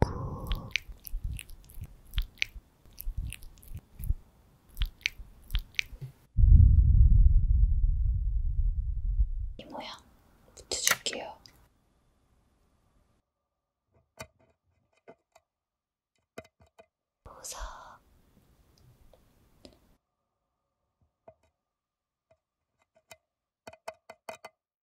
구, 이 모양 붙여줄게요. 보석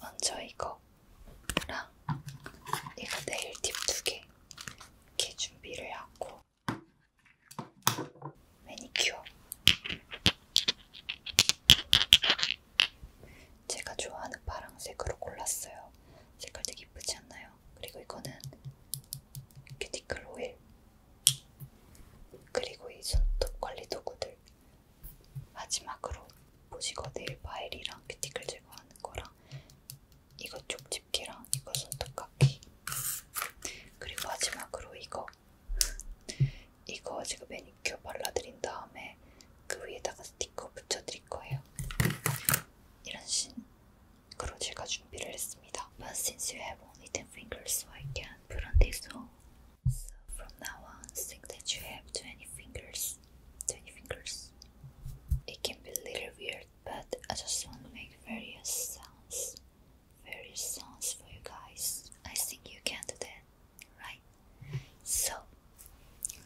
먼저 이거랑 이거 네일팁 두 개 이렇게 준비를 하고 매니큐어 제가 좋아하는 파랑색으로 골랐어요. 색깔 되게 이쁘지 않나요? 그리고 이거는 큐티클 오일 그리고 이 손톱 관리 도구들 마지막으로 보시거 네일 파일이랑 큐티클 제거하는 거랑 이거 쪽집게랑 이거 손톱깎이 그리고 마지막으로 이거 이거 제가 매니큐어 발라드린 다음에 그 위에다가 스티커 붙여드릴 거예요. 이런 식으로 제가 준비를 했습니다. But since you have only 10 fingers, so I can put on this all. So from now on, think that you have 20 fingers. 20 fingers. It can be a little weird, but I just want to make various sounds. Various sounds for you guys. I think you can do that, right? So,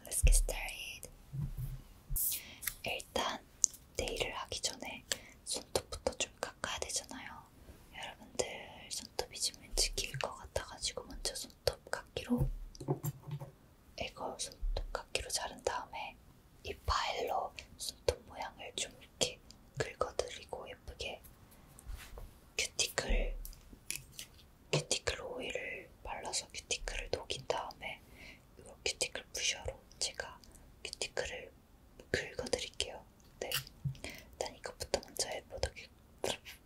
let's get started. 일단, 네일을 하기 전에 손톱부터 좀 깎아야 되잖아요. 여러분들 손톱이 지금 왠지 길것 같아가지고 먼저 손톱 깎기로 이거 손톱 깎기로 자른 다음에 이 파일로 손톱 모양을 좀 이렇게 긁어드리고 예쁘게 큐티클 큐티클 오일을 발라서 큐티클을 녹인 다음에 이거 큐티클 부셔로 제가 큐티클을 긁어드릴게요. 네, 일단 이것부터 먼저 해보도록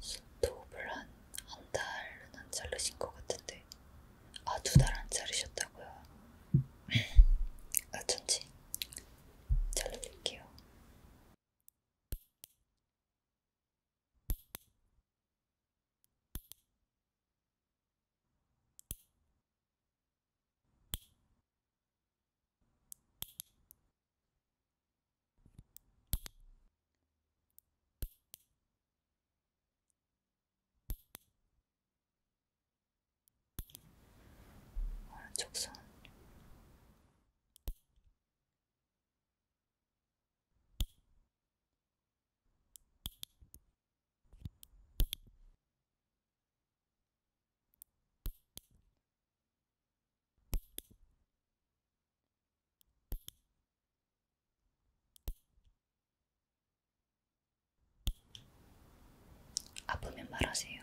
스톱을 한, 한 달은 안 자르신 것 같은데. 아, 두 달안 자르셨다고요? 어쩐지. 아, 잘라볼게요. 오른쪽 아, 손 아프면 말하세요.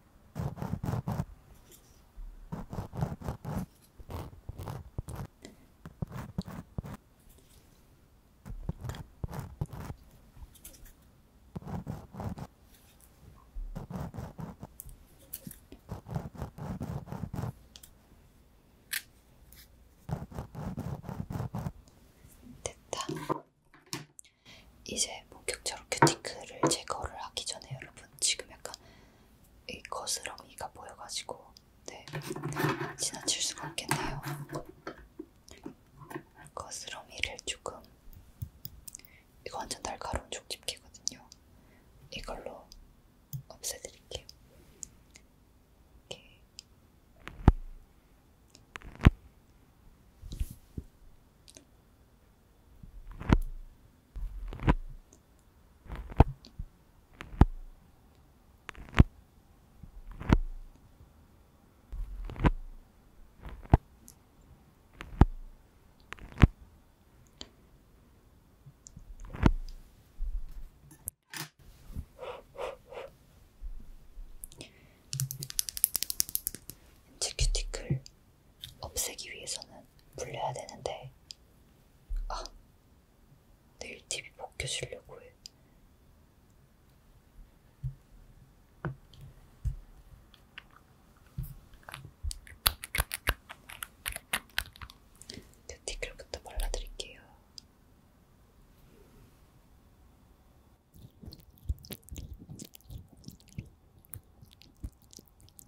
됐다. 이제 본격적으로 큐티클을 제거를 하기 전에 여러분 지금 약간 이 거스렁이가 보여가지고 네 지나칠 수가 없겠네요. 거스러미를 조금 이거 완전 날카로운 족집게거든요. 이걸로 없애드릴게요. 이렇게. 렌즈 큐티클 없애기 위해서는 불려야 되는데 아 내일 TV 벗겨주려고 해. 뷰티클부터 발라드릴게요.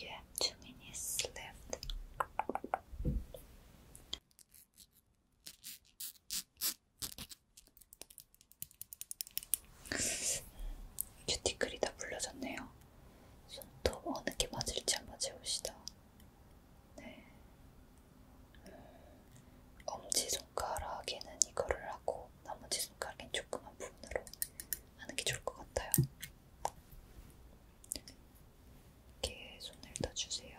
You have two minutes left. 큐티클이 다 불려졌네요. 손톱 어느 게 맞을지 한번 재봅시다. 네. 음, 엄지손가락에는 이거를 하고 나머지 손가락엔 조그만 부분으로 하는 게 좋을 것 같아요. 이렇게 손을 떠주세요.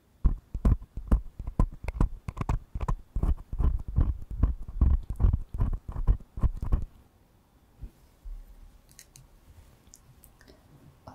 오른쪽 어,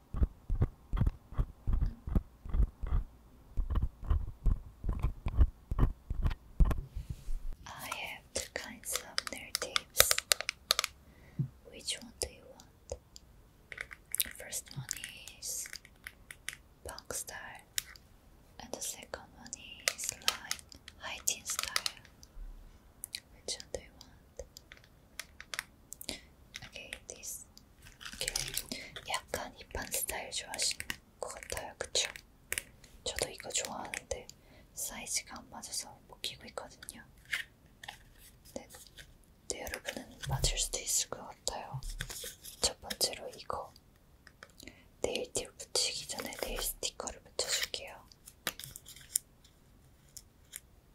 I have two kinds of narratives. Which one do you want? The first one is punk style, and the second one is like hygiene style. Which one do you want? Okay, this. Okay. 약간 힙한 스타일 좋아하시는 것 같아요, 그쵸? 저도 이거 좋아하는데 사이즈가 안 맞아서 못 끼고 있거든요. 네, 네 여러분은 맞을 수도 있을 것 같아요. 첫 번째로 이거 네일팁 붙이기 전에 네일 스티커를 붙여줄게요.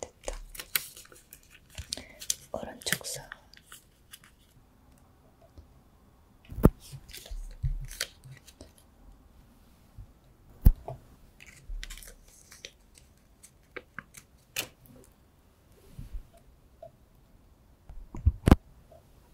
됐다. 오른쪽 손.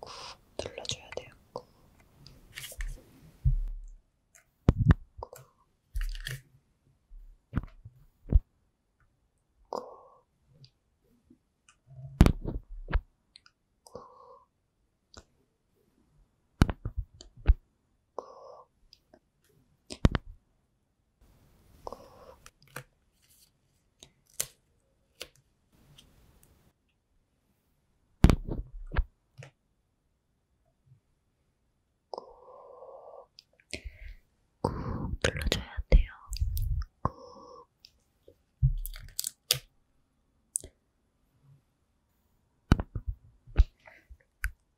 꾹 눌러줘야 돼요. 꾹. 꾹. 꾹. 꾹. 꾹. 꾹 눌러줘야 돼요. 꾹.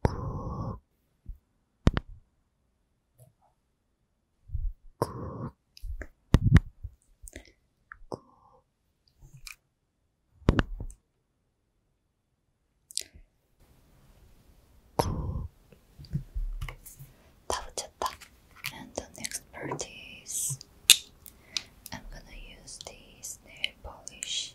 꾹. Cook. Cook. And the next part is I'm gonna use this nail polish.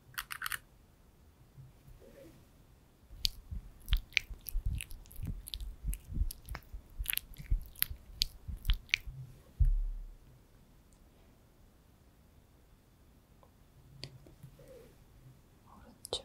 오른쪽 그렇죠.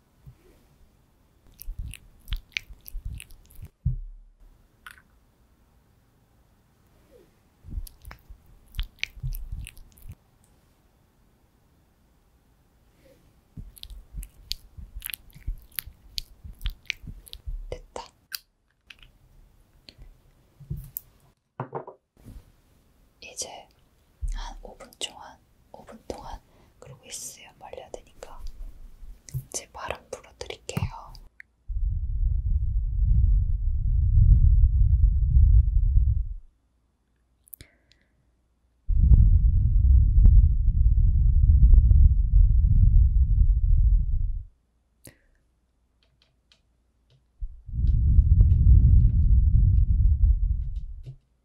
됐다. 이제 한 5분 동안 한 5분 동안 그러고 있으면 말려야 되니까 제 발음 불어드릴게요.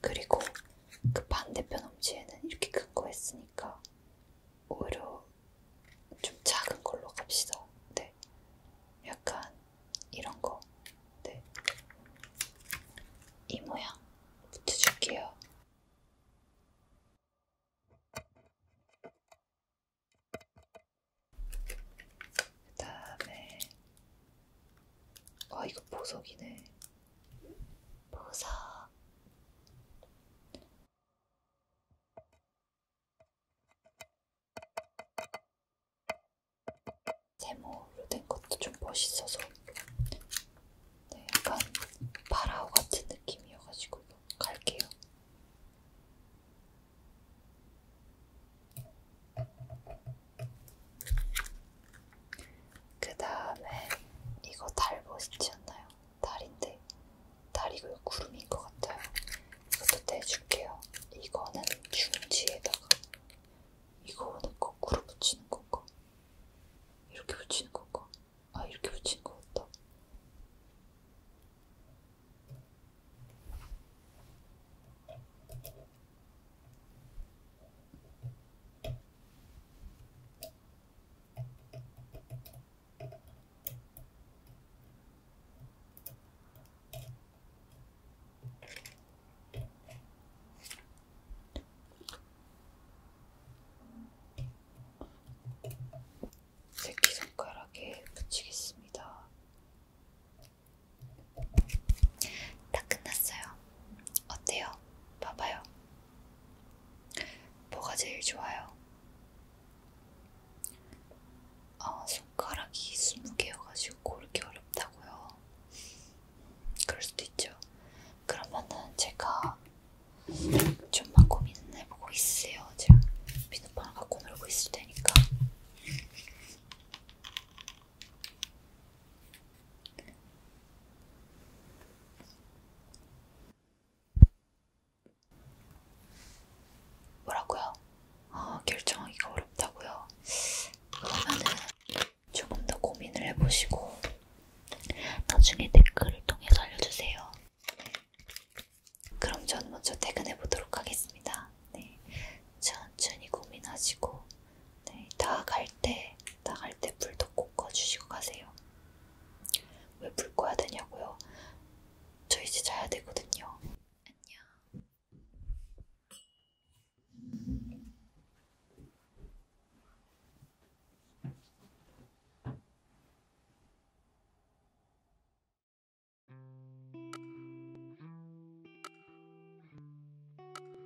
그리고 그 반대편 엄지에는 이렇게 큰 거 했으니까 오히려 좀 작은 걸로 갑시다. 네. 약간 이런 거. 네. 이 모양 붙여줄게요. 그 다음에, 아, 어, 이거 보석이네. 보석 세모로 된 것도 좀 멋있어서 네, 약간 파라오 같은 느낌이어가지고 갈게요. 그 다음에 이거 달보시치였나요? 달인데 달이고 그 구름인 것 같아요. 이것도 떼줄게요. 이거는 중지에다가 이거는 꼭 구름 붙이는 건가? 이렇게 붙이는 건가? 아 이렇게 붙이는 것 같다. 새끼손가락에 붙이겠습니다. 다 끝났어요. 어때요? 봐봐요. 뭐가 제일 좋아요? 아, 손가락이 20개여가지고 고르기 어렵다고요. 그럴 수도 있죠. 그러면은 제가 좀만 고민해보고 있으세요. 제가 비누방을 갖고 놀고 있을 테니까. 뭐라고요? 아, 결정하기가 어렵다고요? 그러면은 조금 더 고민을 해보시고 나중에 댓글을 통해서 알려주세요. 그럼 전 먼저 퇴근해 보도록 하겠습니다. 네, 천천히 고민하시고 네, 나갈 때, 나갈 때 불도 꼭 꺼주시고 가세요. 왜 불 꺼야 되냐고요? 저 이제 자야 되거든요. 안녕.